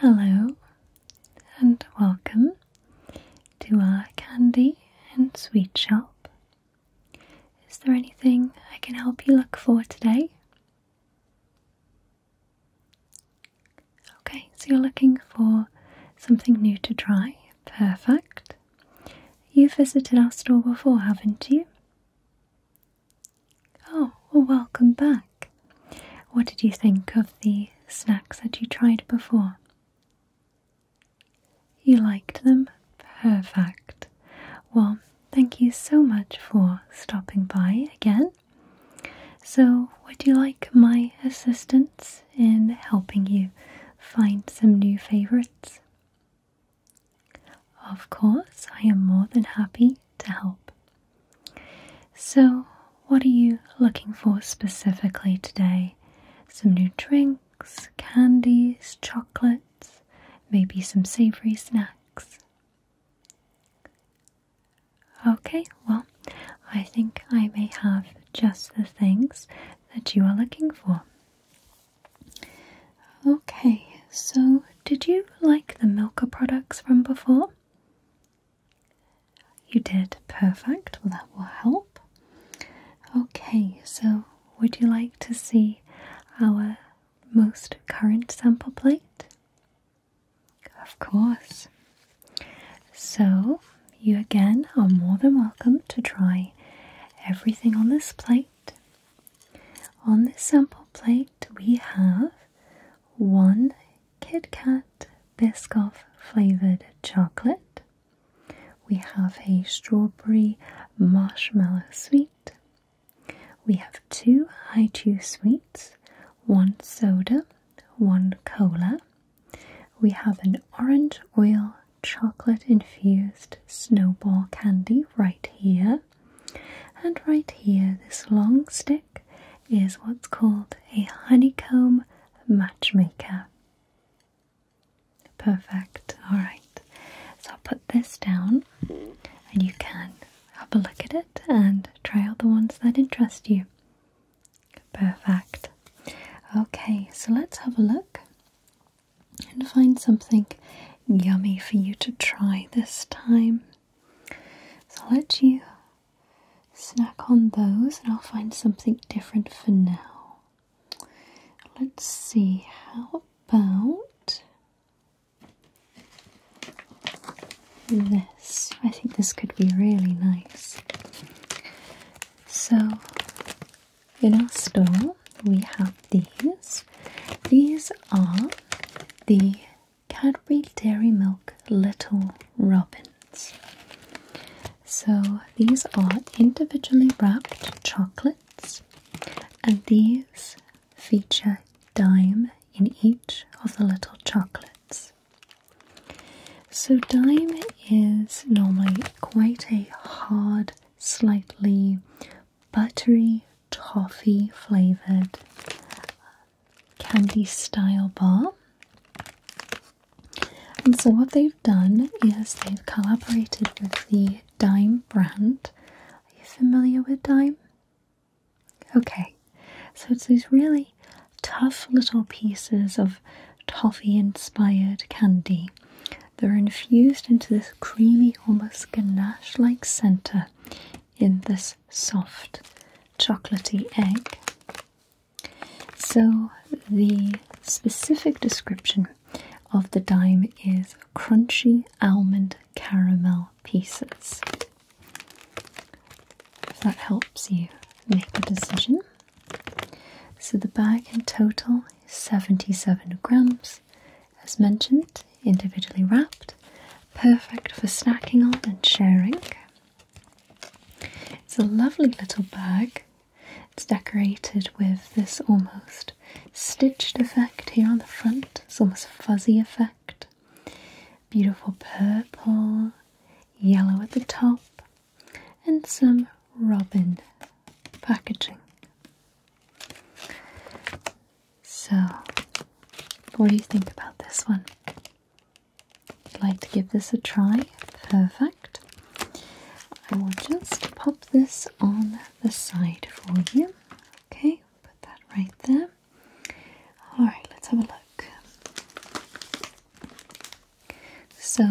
Hello and welcome to our candy and sweet shop. Is there anything I can help you look for today? Okay, so you're looking for something new to try. Perfect. You've visited our store before, haven't you? Oh, welcome back. What did you think of the snacks that you tried before? You liked them? Perfect. Well, thank you so much for stopping by again. So, would you like my assistance in helping you find some new favourites? Of course, I am more than happy to help. So, what are you looking for specifically today? Some new drinks, candies, chocolates, maybe some savory snacks. Okay, well, I think I may have just the things that you are looking for. Okay, so did you like the Milka products from before? You did perfect. Well, that will help. Okay, so would you like to see our most current sample plate? Of course. So, you again are more than welcome to try everything on this plate. On this sample plate, we have one KitKat Kat flavored chocolate. We have a strawberry marshmallow sweet. We have two Haichu sweets, one soda, one cola. We have an orange oil chocolate infused snowball candy right here. And right here, this long stick is what's called a honeycomb matchmaker. Perfect, alright. So I'll put this down and you can have a look at it and try out the ones that interest you. Perfect. Okay, so let's have a look and find something yummy for you to try this time. So I'll let you snack on those and I'll find something different for now. Let's see, how about this? I think this could be really nice. So, in our store, we have these. These are the Cadbury Dairy Milk Little Robins. So these are individually wrapped chocolates, and these feature dime in each of the little chocolates. So, dime is normally quite a hard, slightly buttery, toffee flavored candy style bar. And so, what they've done is they've collaborated with the Dime brand. Are you familiar with Dime? Okay, so it's these really tough little pieces of toffee inspired candy. They're infused into this creamy, almost ganache like centre in this soft chocolatey egg. So, the specific description of the dime is crunchy almond caramel pieces. that helps you make a decision. So, the bag in total is 77 grams, as mentioned individually wrapped, perfect for snacking on and sharing. It's a lovely little bag. It's decorated with this almost stitched effect here on the front. It's almost a fuzzy effect. Beautiful purple, yellow at the top, and some robin packaging. So, what do you think about this one? I'd like to give this a try. Perfect. I will just pop this on the side for you. Okay, put that right there. Alright, let's have a look. So,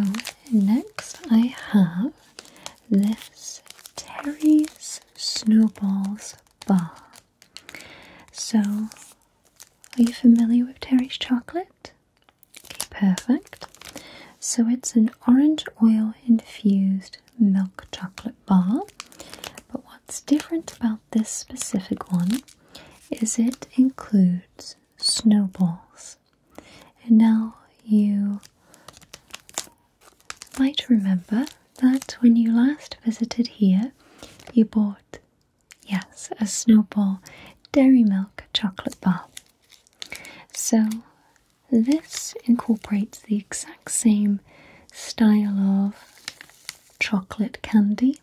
next I have this Terry's Snowballs Bar. So, are you familiar with Terry's chocolate? Okay, perfect. So, it's an orange oil infused milk chocolate bar. But what's different about this specific one is it includes snowballs. And now you might remember that when you last visited here, you bought, yes, a Snowball Dairy Milk chocolate bar. So, this incorporates the exact same style of chocolate candy.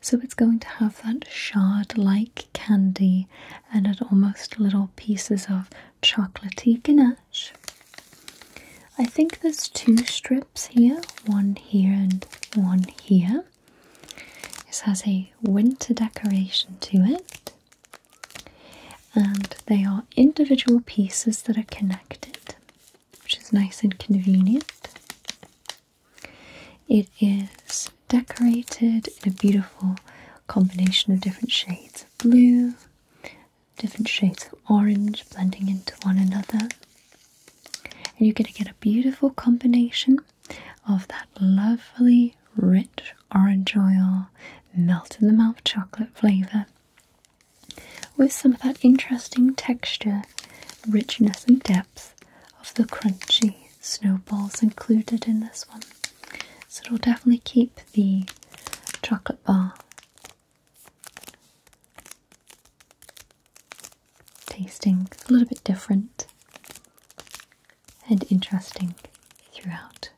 So, it's going to have that shard like candy and it almost little pieces of chocolatey ganache. I think there's two strips here, one here and one here. This has a winter decoration to it, and they are individual pieces that are connected, which is nice and convenient. It is decorated in a beautiful combination of different shades of blue, different shades of orange blending into one another. And you're going to get a beautiful combination of that lovely rich orange oil, melt in the mouth chocolate flavour, with some of that interesting texture, richness, and depth of the crunchy snowballs included in this one. So it'll definitely keep the chocolate bar tasting a little bit different and interesting throughout.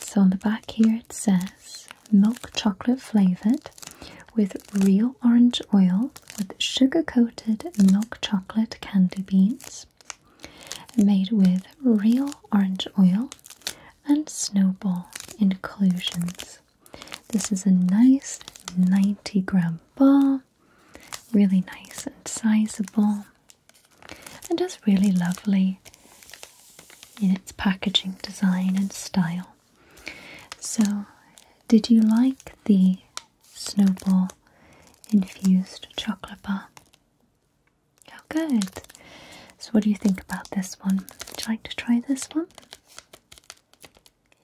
So on the back here it says milk chocolate flavored with real orange oil with sugar coated milk chocolate candy beans made with real orange oil and snowball inclusions. This is a nice 90 gram bar, really nice and sizable, and just really lovely in its packaging design and style. So, did you like the snowball infused chocolate bar? Oh, good. So, what do you think about this one? Would you like to try this one?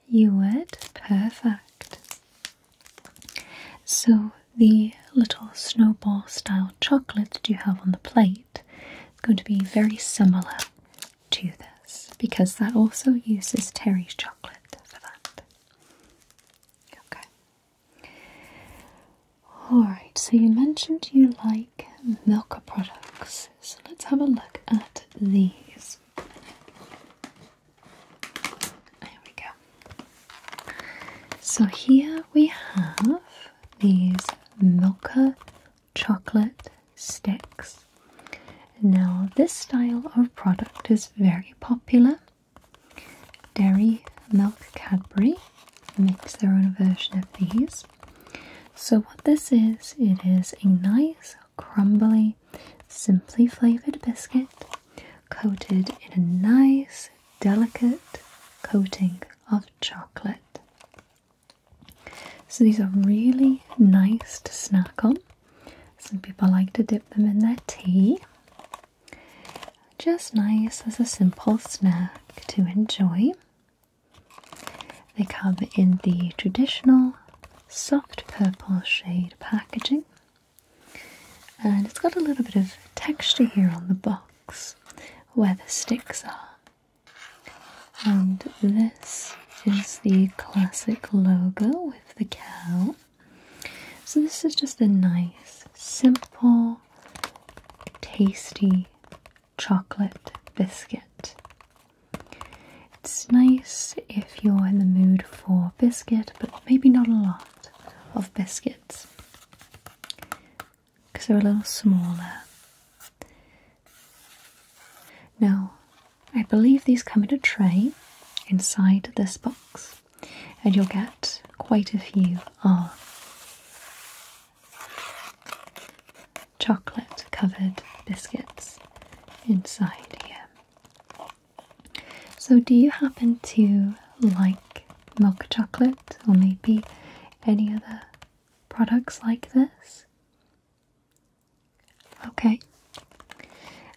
You would? Perfect. So, the little snowball style chocolate that you have on the plate is going to be very similar to this because that also uses Terry's chocolate for that. Okay. Alright, so you mentioned you like like Milka products. So let's have a look at these. There we go. So here we have these Milka chocolate sticks. Now, this style of product is very popular. Dairy Milk Cadbury makes their own version of these. So what this is, it is a nice crumbly, simply flavored biscuit coated in a nice delicate coating of chocolate. So these are really nice to snack on. Some people like to dip them in their tea. Just nice as a simple snack to enjoy. They come in the traditional soft purple shade packaging, and it's got a little bit of texture here on the box where the sticks are. And this is the classic logo with the cow. So, this is just a nice, simple, tasty chocolate biscuit. It's nice if you're in the mood for biscuit, but maybe not a lot of biscuits because they're a little smaller. Now, I believe these come in a tray inside this box, and you'll get quite a few of ah chocolate covered biscuits inside here. So, do you happen to like milk chocolate or maybe any other products like this? Okay.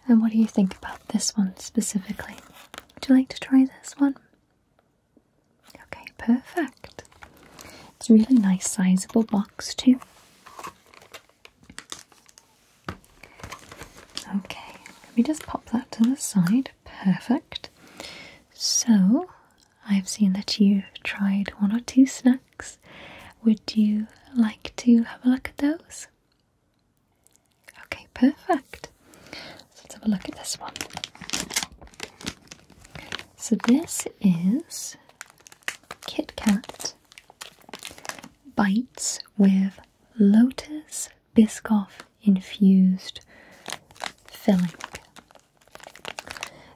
And what do you think about this one specifically? Would you like to try this one? Okay, perfect. It's a really nice sizable box too. Okay, let me just pop that to the side. Perfect. So, I've seen that you tried one or two snacks. Would you like to have a look at those? Okay, perfect. let's have a look at this one. So this is KitKat bites with Lotus Biscoff infused filling.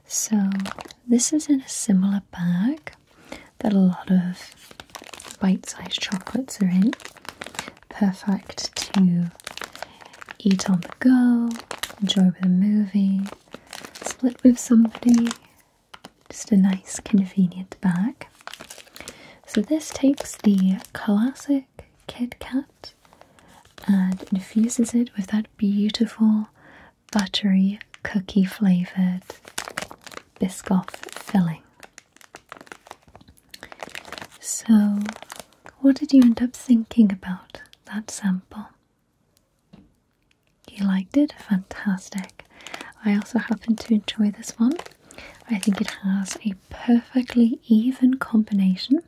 So this is in a similar bag that a lot of bite-sized chocolates are in. Perfect to eat on the go, enjoy with a movie, split with somebody. Just a nice, convenient bag. So, this takes the classic Kit Kat and infuses it with that beautiful buttery cookie flavoured biscuit filling. So, what did you end up thinking about that sample? You liked it? Fantastic. I also happen to enjoy this one. I think it has a perfectly even combination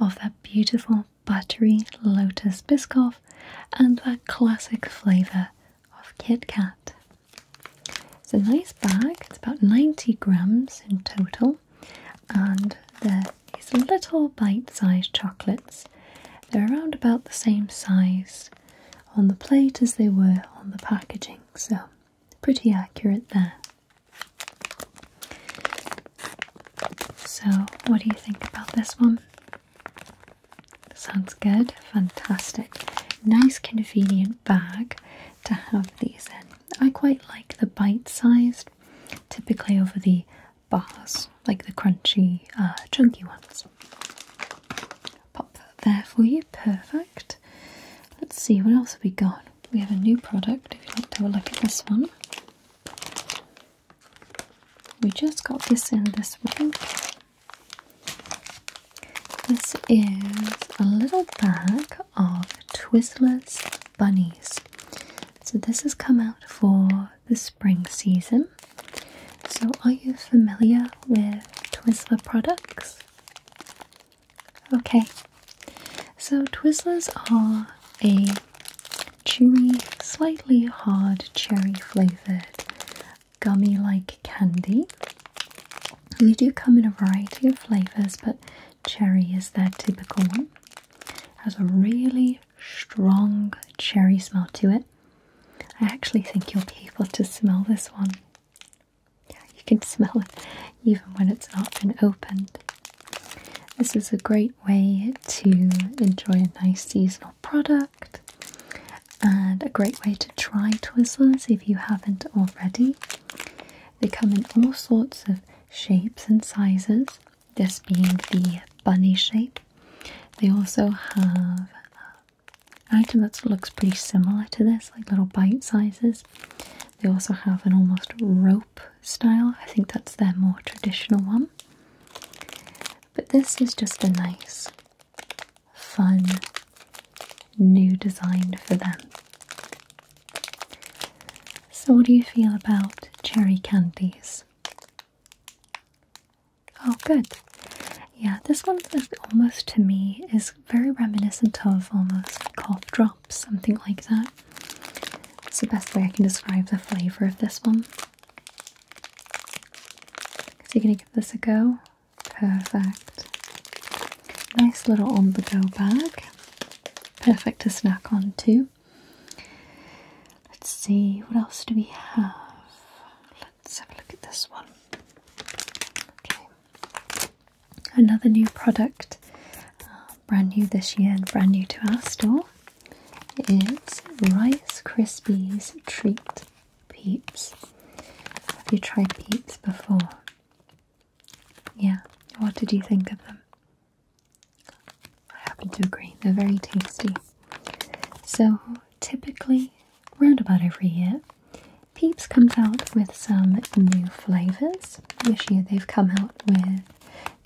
of that beautiful buttery lotus biscoff and that classic flavour of KitKat. It's a nice bag, it's about 90 grams in total, and the these little bite-sized chocolates. They're around about the same size on the plate as they were on the packaging, so pretty accurate there. So, what do you think about this one? Sounds good, fantastic. Nice, convenient bag to have these in. I quite like the bite sized. Typically, over the bars, like the crunchy, uh, chunky ones. Pop that there for you, perfect. Let's see, what else have we got? We have a new product, if you'd like to have a look at this one. We just got this in this week. This is a little bag of Twizzlers Bunnies. So this has come out for the spring season. So, are you familiar with Twizzler products? Okay, so Twizzlers are a chewy, slightly hard cherry flavored gummy like candy. They do come in a variety of flavors, but cherry is their typical one. Has a really strong cherry smell to it. I actually think you'll be able to smell this one. Yeah, you can smell it even when it's not been opened. This is a great way to enjoy a nice seasonal product and a great way to try Twizzlers if you haven't already. They come in all sorts of shapes and sizes this being the bunny shape. They also have an item that looks pretty similar to this, like little bite sizes. They also have an almost rope style. I think that's their more traditional one. But this is just a nice, fun, new design for them. So, what do you feel about cherry candies? Oh, good. Yeah, this one almost to me is very reminiscent of almost cough drops, something like that. It's the best way I can describe the flavor of this one. So you're gonna give this a go. Perfect. Nice little on-the-go bag. Perfect to snack on too. Let's see, what else do we have? Let's have a look at this one. Okay, another new product, uh, brand new this year and brand new to our store, is Rice Krispies Treat Peeps. Have you tried Peeps before? Yeah, what did you think of them? I happen to agree, they're very tasty. So, typically, round about every year, Peeps comes out with some new flavours. This year they've come out with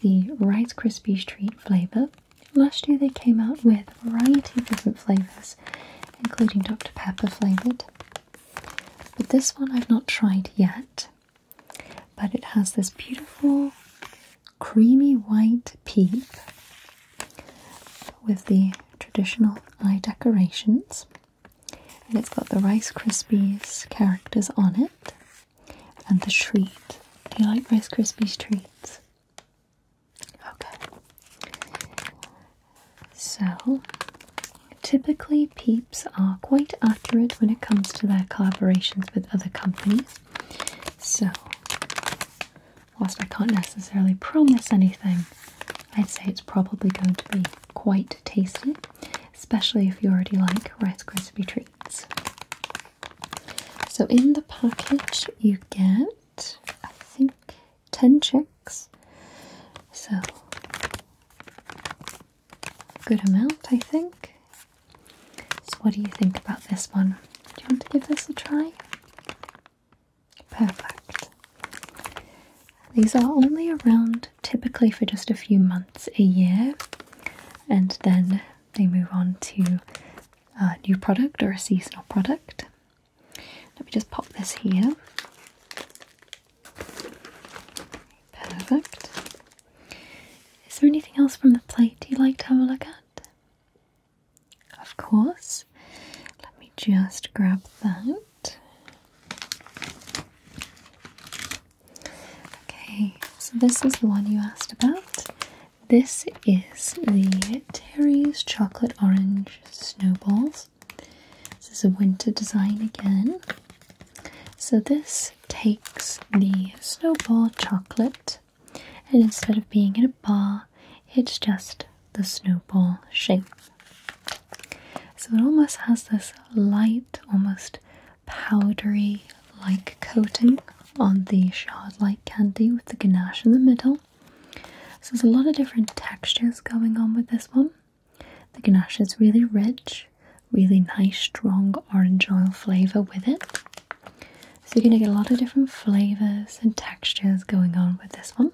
the Rice Krispies Treat flavour. Last year they came out with a variety of different flavours, including Dr Pepper flavoured. But this one I've not tried yet. But it has this beautiful creamy white peep with the traditional eye decorations. And it's got the Rice Krispies characters on it and the treat. Do you like Rice Krispies treats? Okay. So, typically, Peeps are quite accurate when it comes to their collaborations with other companies. So, whilst I can't necessarily promise anything, I'd say it's probably going to be quite tasty, especially if you already like Rice crispy treats. So, in the package, you get, I think, 10 chicks. So, good amount, I think. So, what do you think about this one? Do you want to give this a try? Perfect. These are only around typically for just a few months a year, and then they move on to a new product or a seasonal product. Let me just pop this here. Perfect. Is there anything else from the plate you'd like to have a look at? Of course. Let me just grab that. Okay, so this is the one you asked about. This is the Terry's Chocolate Orange Snowballs. This is a winter design again. So this takes the snowball chocolate and instead of being in a ball, it's just the snowball shape. So it almost has this light, almost powdery like coating on the shard like candy with the ganache in the middle. So there's a lot of different textures going on with this one. The ganache is really rich, really nice strong orange oil flavor with it. So you're going to get a lot of different flavors and textures going on with this one.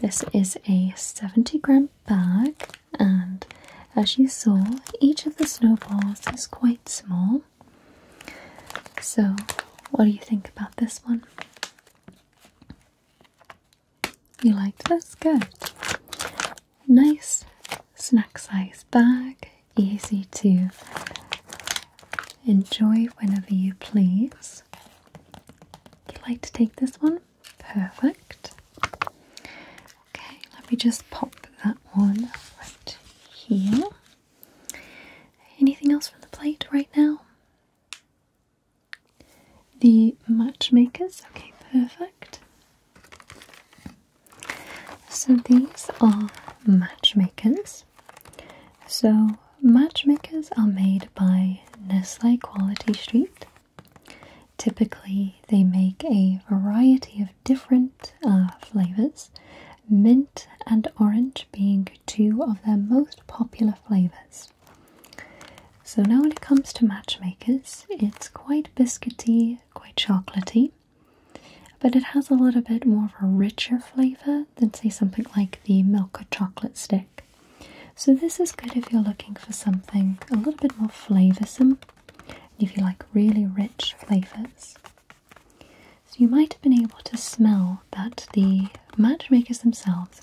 This is a 70 gram bag, and as you saw, each of the snowballs is quite small. So, what do you think about this one? You liked That's Good nice snack size bag, easy to enjoy whenever you please. Would you like to take this one? Perfect. Okay, let me just pop that one right here. Anything else from the plate right now? The matchmakers, okay, perfect. So these are matchmakers. So matchmakers are made by Nestle Quality Street. Typically, they make a variety of different uh, flavors, mint and orange being two of their most popular flavors. So, now when it comes to matchmakers, it's quite biscuity, quite chocolatey, but it has a little bit more of a richer flavor than, say, something like the milk chocolate stick. So, this is good if you're looking for something a little bit more flavorsome, if you like really rich flavors. So, you might have been able to smell that the matchmakers themselves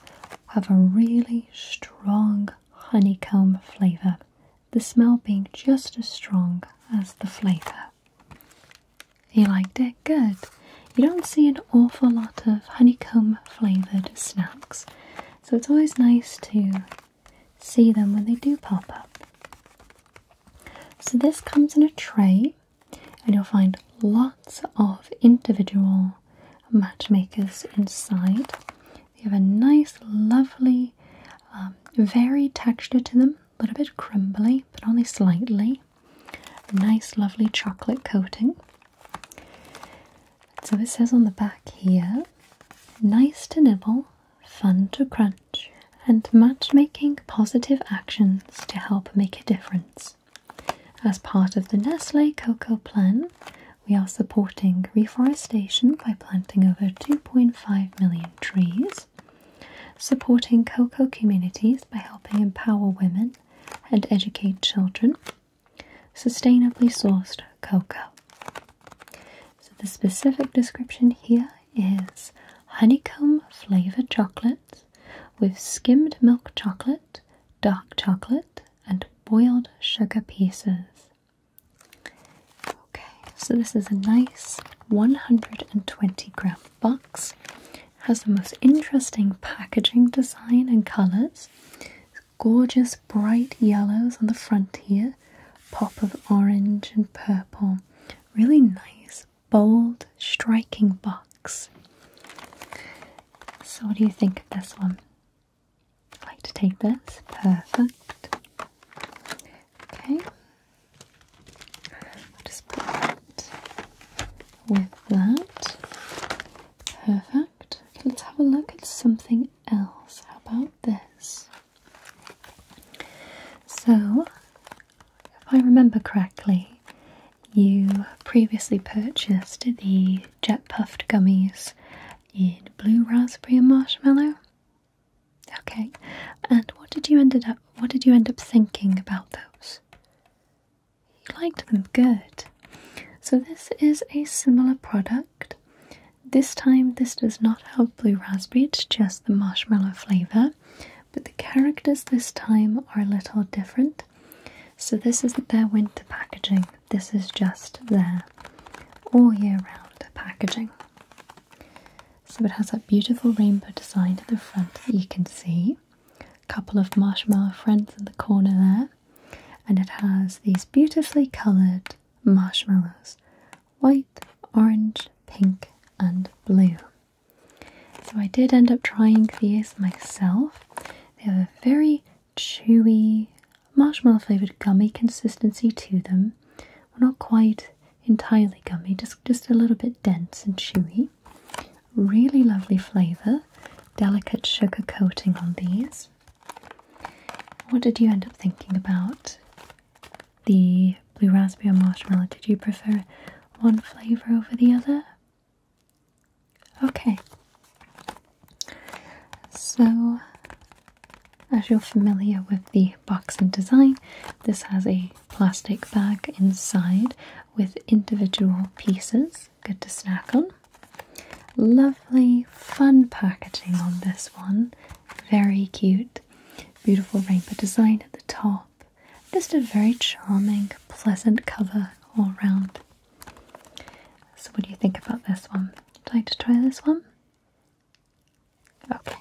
have a really strong honeycomb flavor the smell being just as strong as the flavour. You liked it? Good. You don't see an awful lot of honeycomb flavoured snacks, so it's always nice to see them when they do pop up. So, this comes in a tray, and you'll find lots of individual matchmakers inside. They have a nice, lovely, um, varied texture to them a little bit crumbly, but only slightly. Nice, lovely chocolate coating. So it says on the back here nice to nibble, fun to crunch, and matchmaking positive actions to help make a difference. As part of the Nestle Cocoa Plan, we are supporting reforestation by planting over 2.5 million trees supporting cocoa communities by helping empower women and educate children. Sustainably sourced cocoa. So, the specific description here is honeycomb flavored chocolate with skimmed milk chocolate, dark chocolate, and boiled sugar pieces. Okay, so this is a nice 120 gram box. has the most interesting packaging design and colours. Gorgeous bright yellows on the front here, pop of orange and purple. Really nice, bold, striking box. So, what do you think of this one? I'd like to take this. Perfect. Okay, just put that with that. Perfect. let's have a look at something else. How about this? So, if I remember correctly, you previously purchased the Jet Puffed Gummies in Blue Raspberry and Marshmallow. Okay. And what did you ended up what did you end up thinking about those? You liked them good. So this is a similar product. This time this does not have blue raspberry, it's just the marshmallow flavour. But the characters this time are a little different. So this is their winter packaging. This is just their all year round packaging. So it has that beautiful rainbow design at the front that you can see. A couple of marshmallow friends in the corner there. And it has these beautifully coloured marshmallows. White, orange, pink and blue. So I did end up trying these myself. They have a very chewy marshmallow flavoured gummy consistency to them. We're not quite entirely gummy, just, just a little bit dense and chewy. Really lovely flavour, delicate sugar coating on these. What did you end up thinking about the blue raspberry marshmallow? Did you prefer one flavour over the other? Okay. So as you're familiar with the box and design, this has a plastic bag inside with individual pieces, good to snack on. Lovely, fun packaging on this one, very cute. Beautiful rainbow design at the top. Just a very charming, pleasant cover all round. So, what do you think about this one? Would you like to try this one? Okay.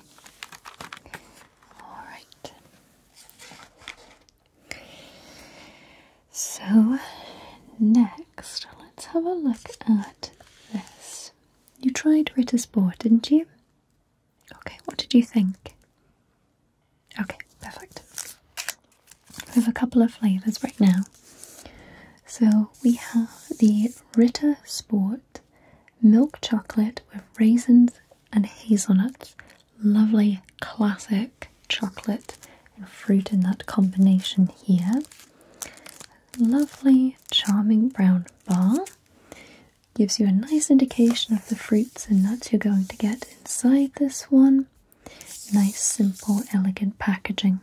All right. So, next, let's have a look at this. You tried Ritter Sport, didn't you? Okay, what did you think? Okay, perfect. We have a couple of flavours right now. So, we have the Ritter Sport milk chocolate with raisins and hazelnuts. Lovely classic chocolate and fruit in that combination here. Lovely, charming brown bar. Gives you a nice indication of the fruits and nuts you're going to get inside this one. Nice, simple, elegant packaging.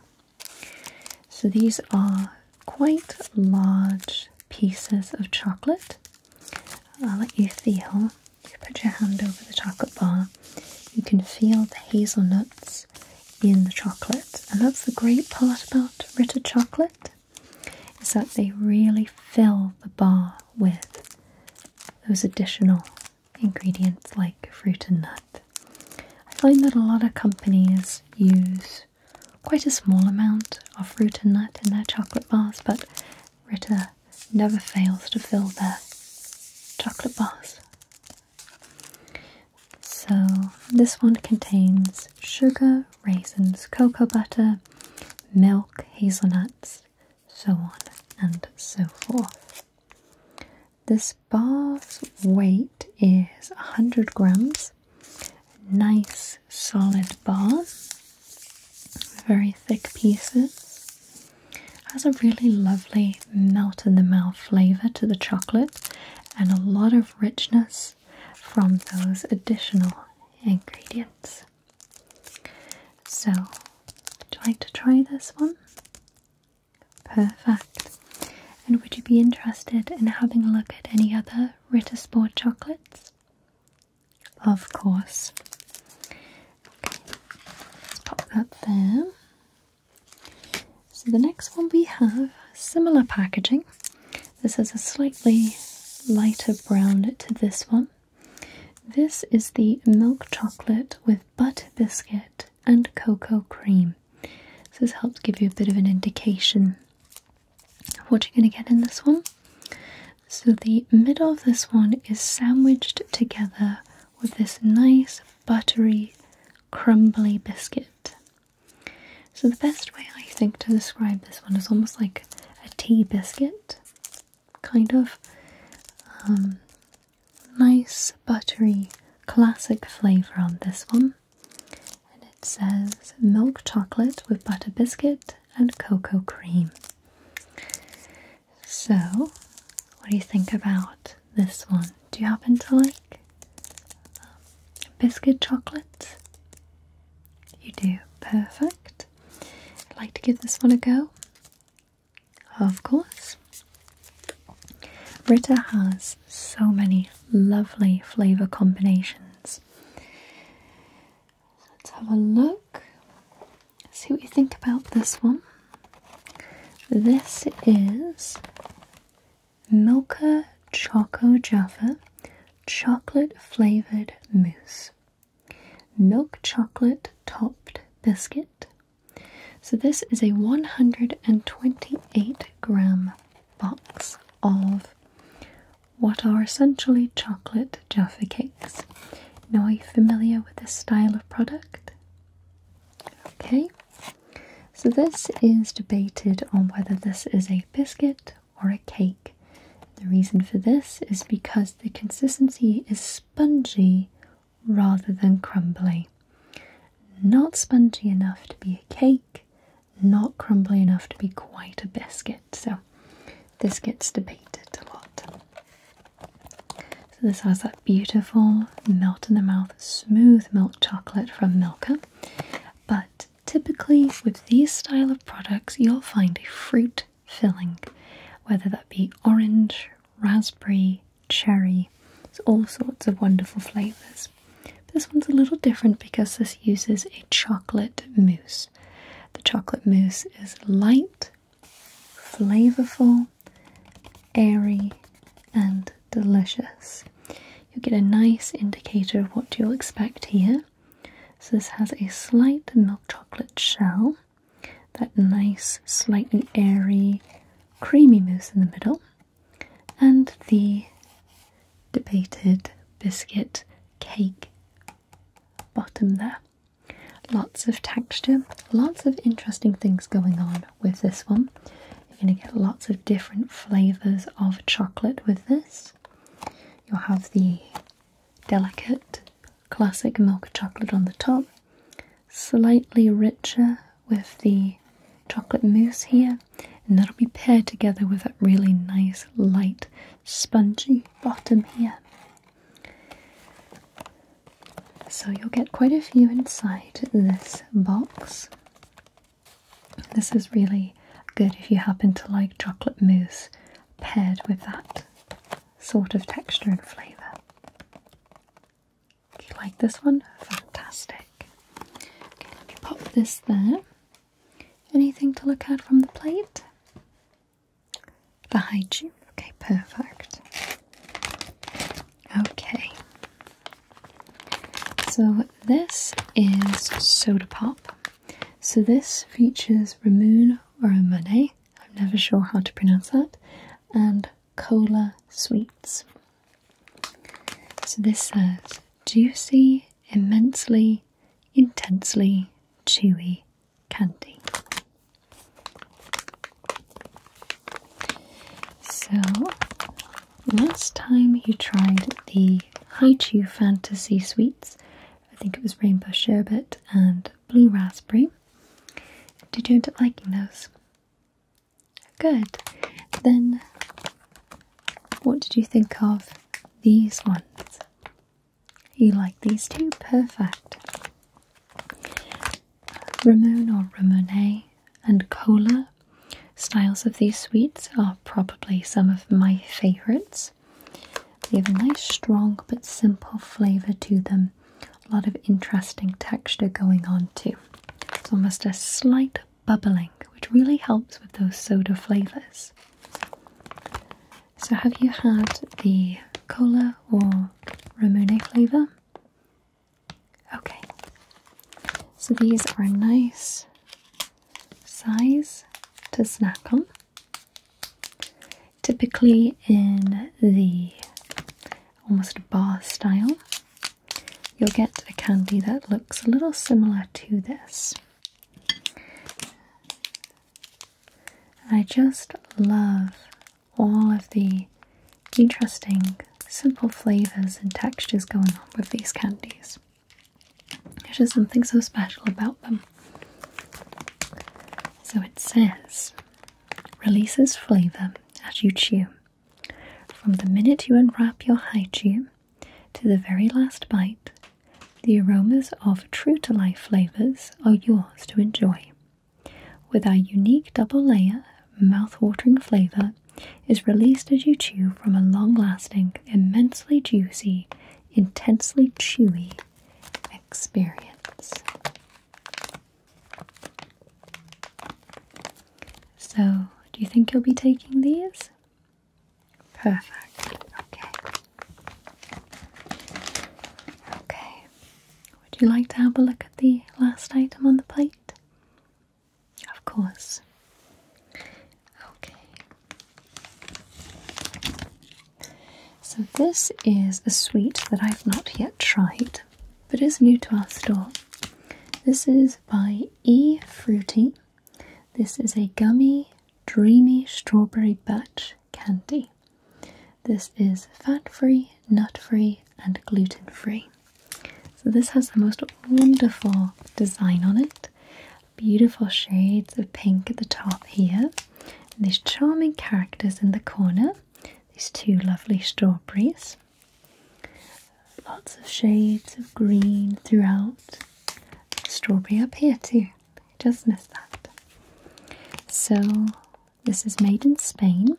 So these are quite large pieces of chocolate. I'll let you feel. You put your hand over the chocolate bar, you can feel the hazelnuts in the chocolate. And that's the great part about Ritter chocolate is that they really fill the bar with those additional ingredients like fruit and nut. I find that a lot of companies use quite a small amount of fruit and nut in their chocolate bars, but Rita never fails to fill their chocolate bars. So, this one contains sugar, raisins, cocoa butter, milk, hazelnuts, so on and so forth. This bar's weight is 100 grams Nice solid bar, very thick pieces. Has a really lovely melt in the mouth flavor to the chocolate and a lot of richness from those additional ingredients. So, would you like to try this one? Perfect. And would you be interested in having a look at any other the Rittersport chocolates? Of course. let's pop that there. So the next one we have similar packaging. This is a slightly lighter brown to this one. This is the milk chocolate with butter biscuit and cocoa cream. So this helps give you a bit of an indication what you're going to get in this one. So, the middle of this one is sandwiched together with this nice, buttery, crumbly biscuit. So, the best way I think to describe this one is almost like a tea biscuit, kind of um, nice, buttery, classic flavour on this one and it says milk chocolate with butter biscuit and cocoa cream. So, what do you think about this one? Do you happen to like um, biscuit chocolate? You do, perfect. I'd like to give this one a go. Of course. Rita has so many lovely flavor combinations. Let's have a look. See what you think about this one. This is Milka Choco Jaffa chocolate flavored mousse. Milk chocolate topped biscuit. So, this is a 128 gram box of what are essentially chocolate Jaffa cakes. Now, are you familiar with this style of product? Okay, so this is debated on whether this is a biscuit or a cake. The reason for this is because the consistency is spongy rather than crumbly. Not spongy enough to be a cake, not crumbly enough to be quite a biscuit. So this gets debated a lot. So this has that beautiful melt in the mouth, smooth milk chocolate from Milka. But typically with these style of products, you'll find a fruit filling, whether that be orange, raspberry, cherry, there's all sorts of wonderful flavours. This one's a little different because this uses a chocolate mousse. The chocolate mousse is light, flavorful, airy, and delicious. You will get a nice indicator of what you'll expect here. So, this has a slight milk chocolate shell, that nice, slightly airy, creamy mousse in the middle and the debated biscuit cake bottom there. Lots of texture, lots of interesting things going on with this one. You're going to get lots of different flavours of chocolate with this. You'll have the delicate classic milk chocolate on the top, slightly richer with the chocolate mousse here, and that'll be paired together with that really nice, light, spongy bottom here. So you'll get quite a few inside this box. This is really good if you happen to like chocolate mousse paired with that sort of texture and flavour. Do you like this one? Fantastic. pop this there. Anything to look at from the plate? The you? Okay, perfect. Okay. So this is Soda Pop. So this features Ramoon Romane, I'm never sure how to pronounce that, and Cola Sweets. So this says juicy, immensely, intensely chewy candy. So, last time you tried the Haichu Fantasy Sweets, I think it was Rainbow Sherbet and Blue Raspberry. Did you end up liking those? Good. Then what did you think of these ones? You like these two? Perfect. Ramon or Ramone and Cola styles of these sweets are probably some of my favourites. They have a nice, strong, but simple flavour to them. A lot of interesting texture going on too. It's almost a slight bubbling, which really helps with those soda flavors. So, have you had the cola or Ramune flavor? Okay, so these are a nice size to snack on. Typically in the almost bar style, you'll get a candy that looks a little similar to this. I just love all of the interesting, simple flavors and textures going on with these candies. There's just something so special about them. So it says, releases flavour as you chew. From the minute you unwrap your haichu, to the very last bite, the aromas of true to life flavors are yours to enjoy. With our unique double layer, mouth-watering flavor is released as you chew from a long-lasting, immensely juicy, intensely chewy experience. So, do you think you'll be taking these? Perfect. Okay. Okay. Would you like to have a look at the last item on the plate? Of course. Okay. So, this is a sweet that I've not yet tried but is new to our store. This is by E Fruity this is a gummy, dreamy strawberry batch candy. This is fat free, nut free, and gluten free. So, this has the most wonderful design on it. Beautiful shades of pink at the top here, There's charming characters in the corner, these two lovely strawberries lots of shades of green throughout. Strawberry up here too. Just missed that. So this is made in Spain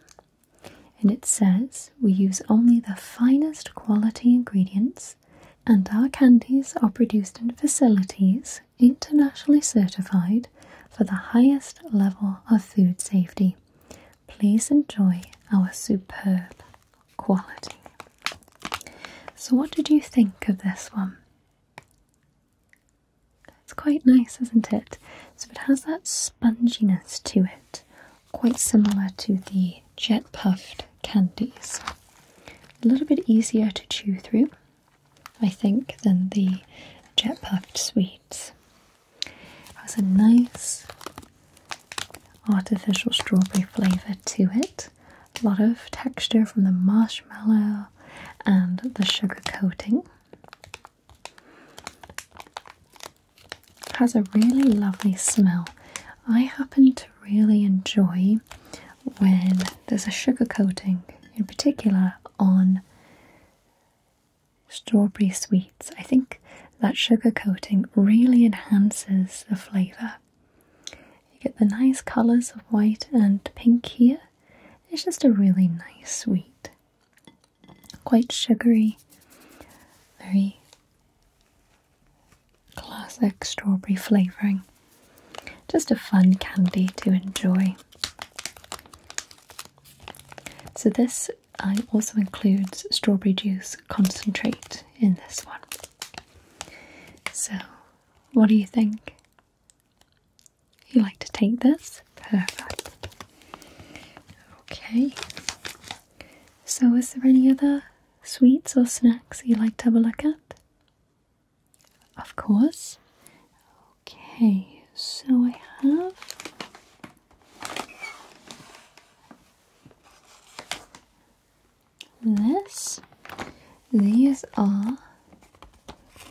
and it says we use only the finest quality ingredients and our candies are produced in facilities internationally certified for the highest level of food safety. Please enjoy our superb quality. So, what did you think of this one? It's quite nice, isn't it? So, it has that sponginess to it, quite similar to the jet puffed candies. A little bit easier to chew through, I think, than the jet puffed sweets. It has a nice artificial strawberry flavour to it. A lot of texture from the marshmallow and the sugar coating. Has a really lovely smell. I happen to really enjoy when there's a sugar coating, in particular on strawberry sweets. I think that sugar coating really enhances the flavour. You get the nice colours of white and pink here. It's just a really nice sweet. Quite sugary, very classic strawberry flavouring. Just a fun candy to enjoy. So, this uh, also includes strawberry juice concentrate in this one. So, what do you think? You like to take this? Perfect. Okay. So, is there any other sweets or snacks you like to have a look at? Of course. Okay, so I have this. These are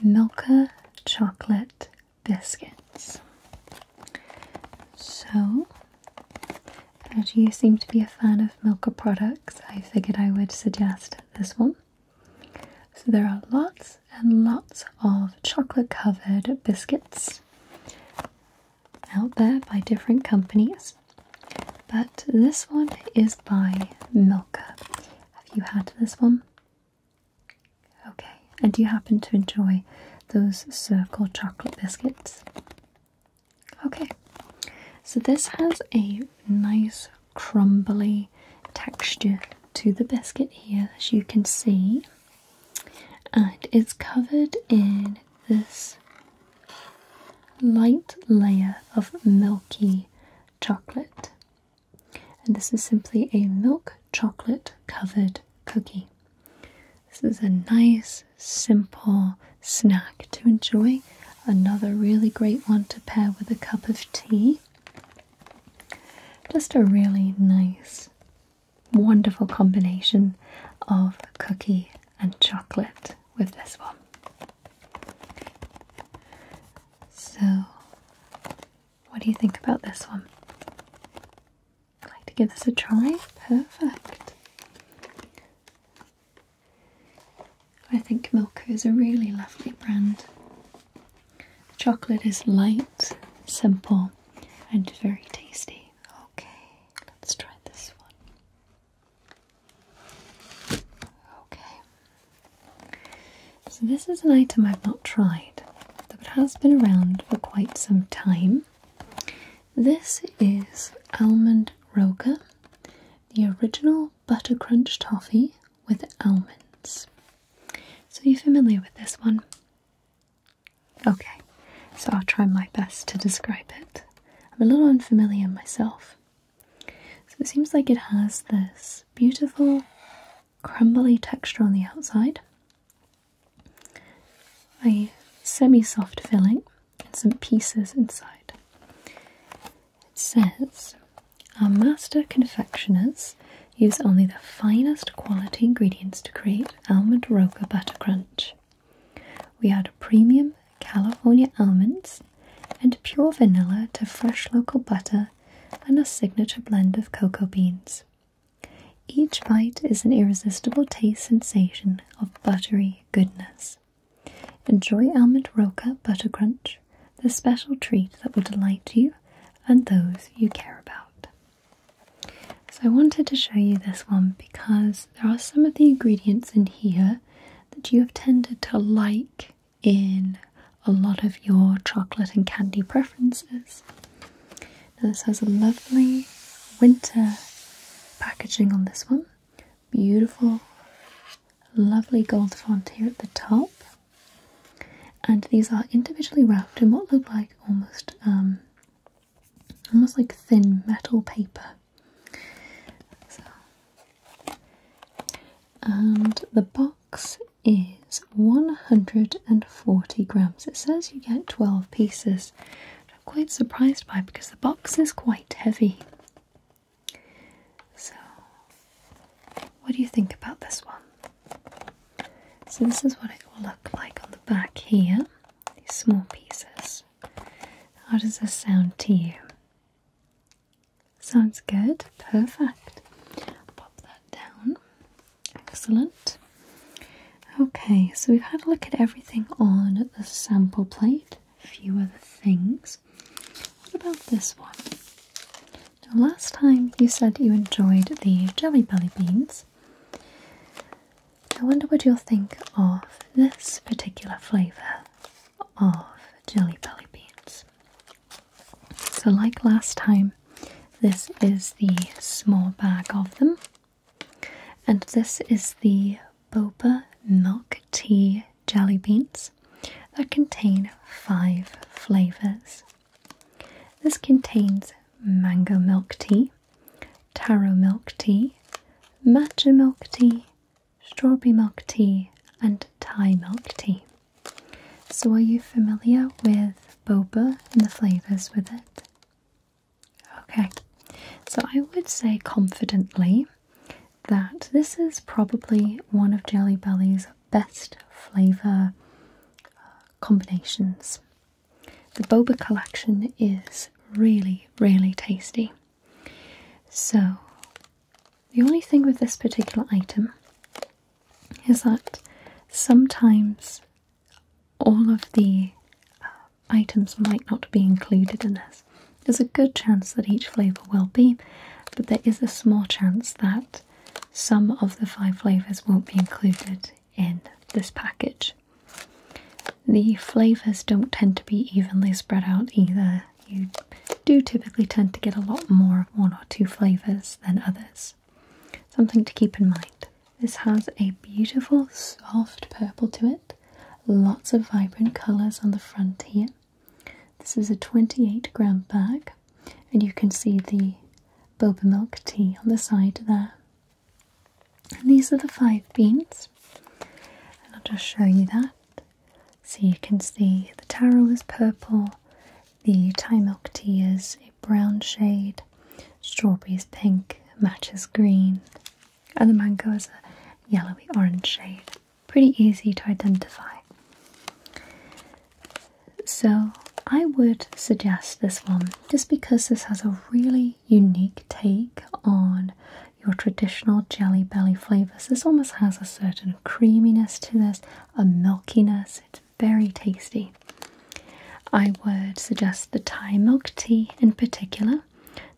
Milka chocolate biscuits. So, as you seem to be a fan of Milka products, I figured I would suggest this one. So, there are lots and lots of chocolate covered biscuits out there by different companies, but this one is by Milka. Have you had this one? Okay, and do you happen to enjoy those circle chocolate biscuits? Okay, so this has a nice crumbly texture to the biscuit here, as you can see, and it's covered in this light layer of milky chocolate. And this is simply a milk chocolate covered cookie. This is a nice, simple snack to enjoy. Another really great one to pair with a cup of tea. Just a really nice, wonderful combination of cookie and chocolate with this one. So, what do you think about this one? I'd like to give this a try. Perfect. I think Milka is a really lovely brand. chocolate is light, simple, and very tasty. Okay, let's try this one. Okay. So, this is an item I've not tried, but has been around for quite some time. This is Almond Roca, the original butter crunch toffee with almonds. So, are you familiar with this one? Okay, so I'll try my best to describe it. I'm a little unfamiliar myself. So it seems like it has this beautiful crumbly texture on the outside, a semi soft filling, and some pieces inside. It says our master confectioners use only the finest quality ingredients to create almond roca butter crunch. We add premium California almonds and pure vanilla to fresh local butter and a signature blend of cocoa beans. Each bite is an irresistible taste sensation of buttery goodness. Enjoy Almond Roca Butter Crunch, the special treat that will delight you and those you care about. So, I wanted to show you this one because there are some of the ingredients in here that you have tended to like in a lot of your chocolate and candy preferences. Now this has a lovely winter packaging on this one. Beautiful, lovely gold font here at the top. And these are individually wrapped in what look like almost um, almost like thin metal paper. So. And the box is 140 grams. It says you get 12 pieces, I'm quite surprised by because the box is quite heavy. So, what do you think about this one? So, this is what it will look like on the back here these small pieces. How does this sound to you? Sounds good. Perfect. Pop that down. Excellent. Okay, so we've had a look at everything on the sample plate, a few other things. What about this one? Now, last time you said you enjoyed the Jelly Belly beans. I wonder what you'll think of this particular flavour of Jelly Belly Beans. So, like last time, this is the small bag of them, and this is the boba milk tea jelly beans that contain five flavours. This contains mango milk tea, taro milk tea, matcha milk tea, strawberry milk tea, and Thai milk tea. So, are you familiar with boba and the flavors with it? Okay, so I would say confidently that this is probably one of Jelly Belly's best flavor uh, combinations. The boba collection is really really, tasty. So, the only thing with this particular item is that sometimes all of the uh, items might not be included in this. There's a good chance that each flavour will be, but there is a small chance that some of the five flavours won't be included in this package. The flavours don't tend to be evenly spread out either. You do typically tend to get a lot more of one or two flavours than others. Something to keep in mind. This has a beautiful soft purple to it, lots of vibrant colours on the front here. This is a 28 gram bag, and you can see the boba milk tea on the side there. And these are the five beans. And I'll just show you that. So you can see the taro is purple, the Thai milk tea is a brown shade, strawberries pink, matches green, and the mango is a yellowy orange shade. Pretty easy to identify. So I would suggest this one just because this has a really unique take on your traditional jelly belly flavors. This almost has a certain creaminess to this, a milkiness. It's very tasty. I would suggest the Thai milk tea in particular.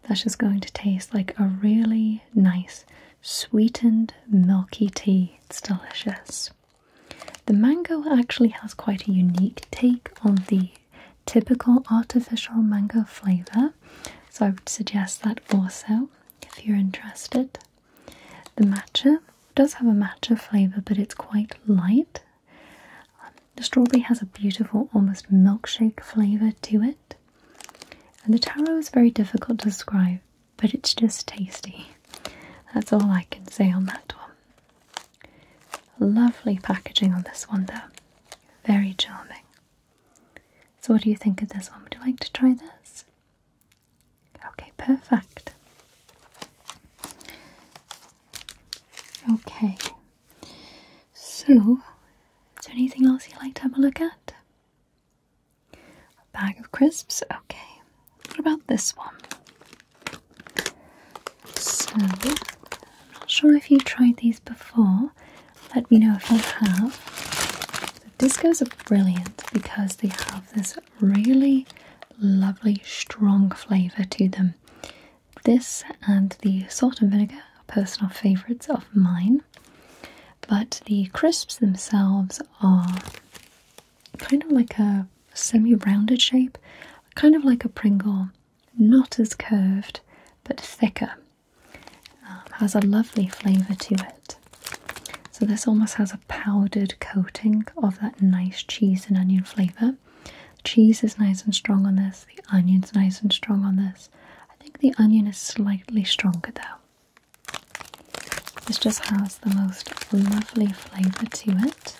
That's just going to taste like a really nice sweetened milky tea. It's delicious. The mango actually has quite a unique take on the typical artificial mango flavor. So I would suggest that also if you're interested. The matcha does have a matcha flavor, but it's quite light. Um, the strawberry has a beautiful, almost milkshake flavor to it. And the taro is very difficult to describe, but it's just tasty. That's all I can say on that one. Lovely packaging on this one, though. Very charming. So, what do you think of this one? Would you like to try this? Okay, perfect. Okay, so is there anything else you'd like to have a look at? A bag of crisps? Okay, what about this one? So, I'm not sure if you have tried these before. Let me know if you have. The discos are brilliant because they have this really lovely strong flavour to them. This and the salt and vinegar are personal favourites of mine. But the crisps themselves are kind of like a semi-rounded shape, kind of like a Pringle not as curved but thicker. Um, has a lovely flavour to it. So, this almost has a powdered coating of that nice cheese and onion flavour. Cheese is nice and strong on this, the onion's nice and strong on this. I think the onion is slightly stronger though. This just has the most lovely flavour to it.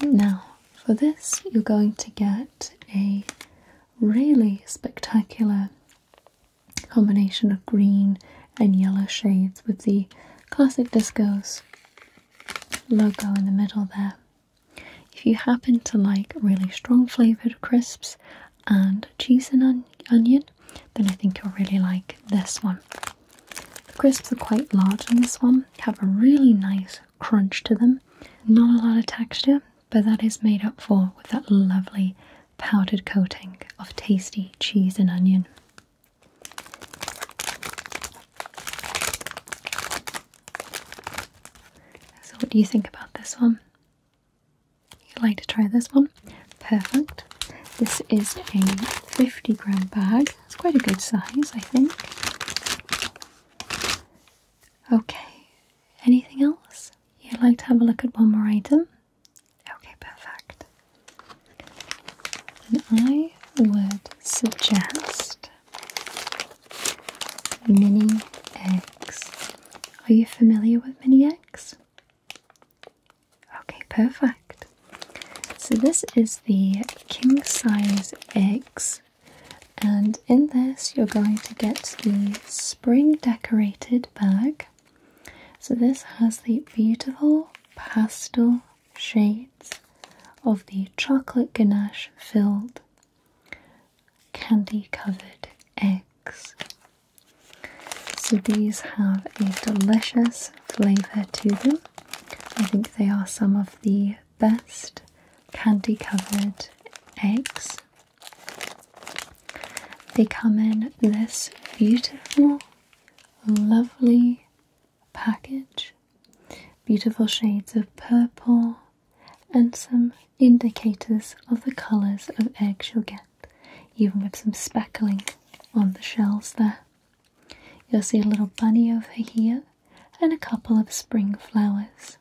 Now, for this, you're going to get a really spectacular combination of green and yellow shades with the Classic Discos logo in the middle there. If you happen to like really strong flavoured crisps and cheese and onion, then I think you'll really like this one. The crisps are quite large on this one, have a really nice crunch to them. Not a lot of texture, but that is made up for with that lovely powdered coating of tasty cheese and onion. So, what do you think about this one? You'd like to try this one? Perfect. This is a 50 gram bag. It's quite a good size, I think. Okay, anything else? You'd like to have a look at one more item? Okay, perfect. And I would suggest mini eggs. Are you familiar with mini eggs? Okay, perfect. So this is the king size eggs and in this, you're going to get the spring decorated bag. So, this has the beautiful pastel shades of the chocolate ganache filled candy covered eggs. So, these have a delicious flavour to them. I think they are some of the best candy covered eggs. They come in this beautiful, lovely package. Beautiful shades of purple and some indicators of the colours of eggs you'll get, even with some speckling on the shells there. You'll see a little bunny over here and a couple of spring flowers.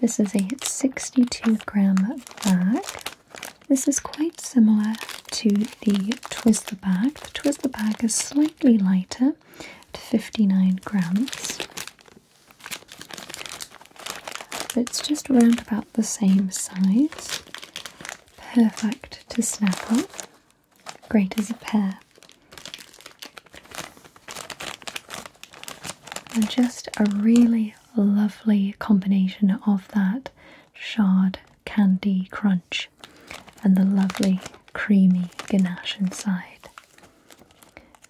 This is a 62 gram bag. This is quite similar to the Twizzler bag. The Twizzler bag is slightly lighter at 59 grams. But it's just around about the same size. Perfect to snap up. Great as a pair. And just a really lovely combination of that shard candy crunch and the lovely creamy ganache inside.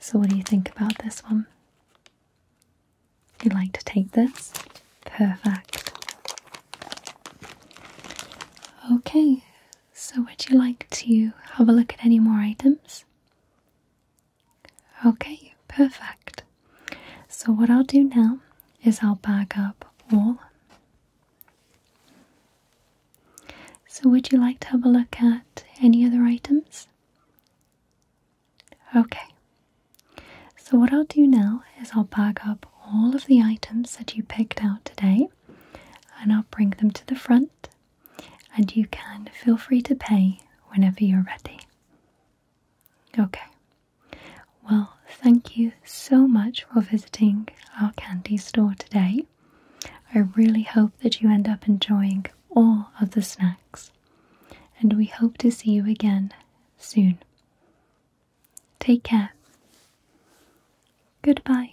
So, what do you think about this one? You'd like to take this? Perfect. Okay, so, would you like to have a look at any more items? Okay, perfect. So, what I'll do now is I'll back up all. So, would you like to have a look at any other items? Okay. So, what I'll do now is I'll back up all of the items that you picked out today and I'll bring them to the front and you can feel free to pay whenever you're ready. Okay, well, thank you so much for visiting our candy store today. I really hope that you end up enjoying all of the snacks, and we hope to see you again soon. Take care. Goodbye.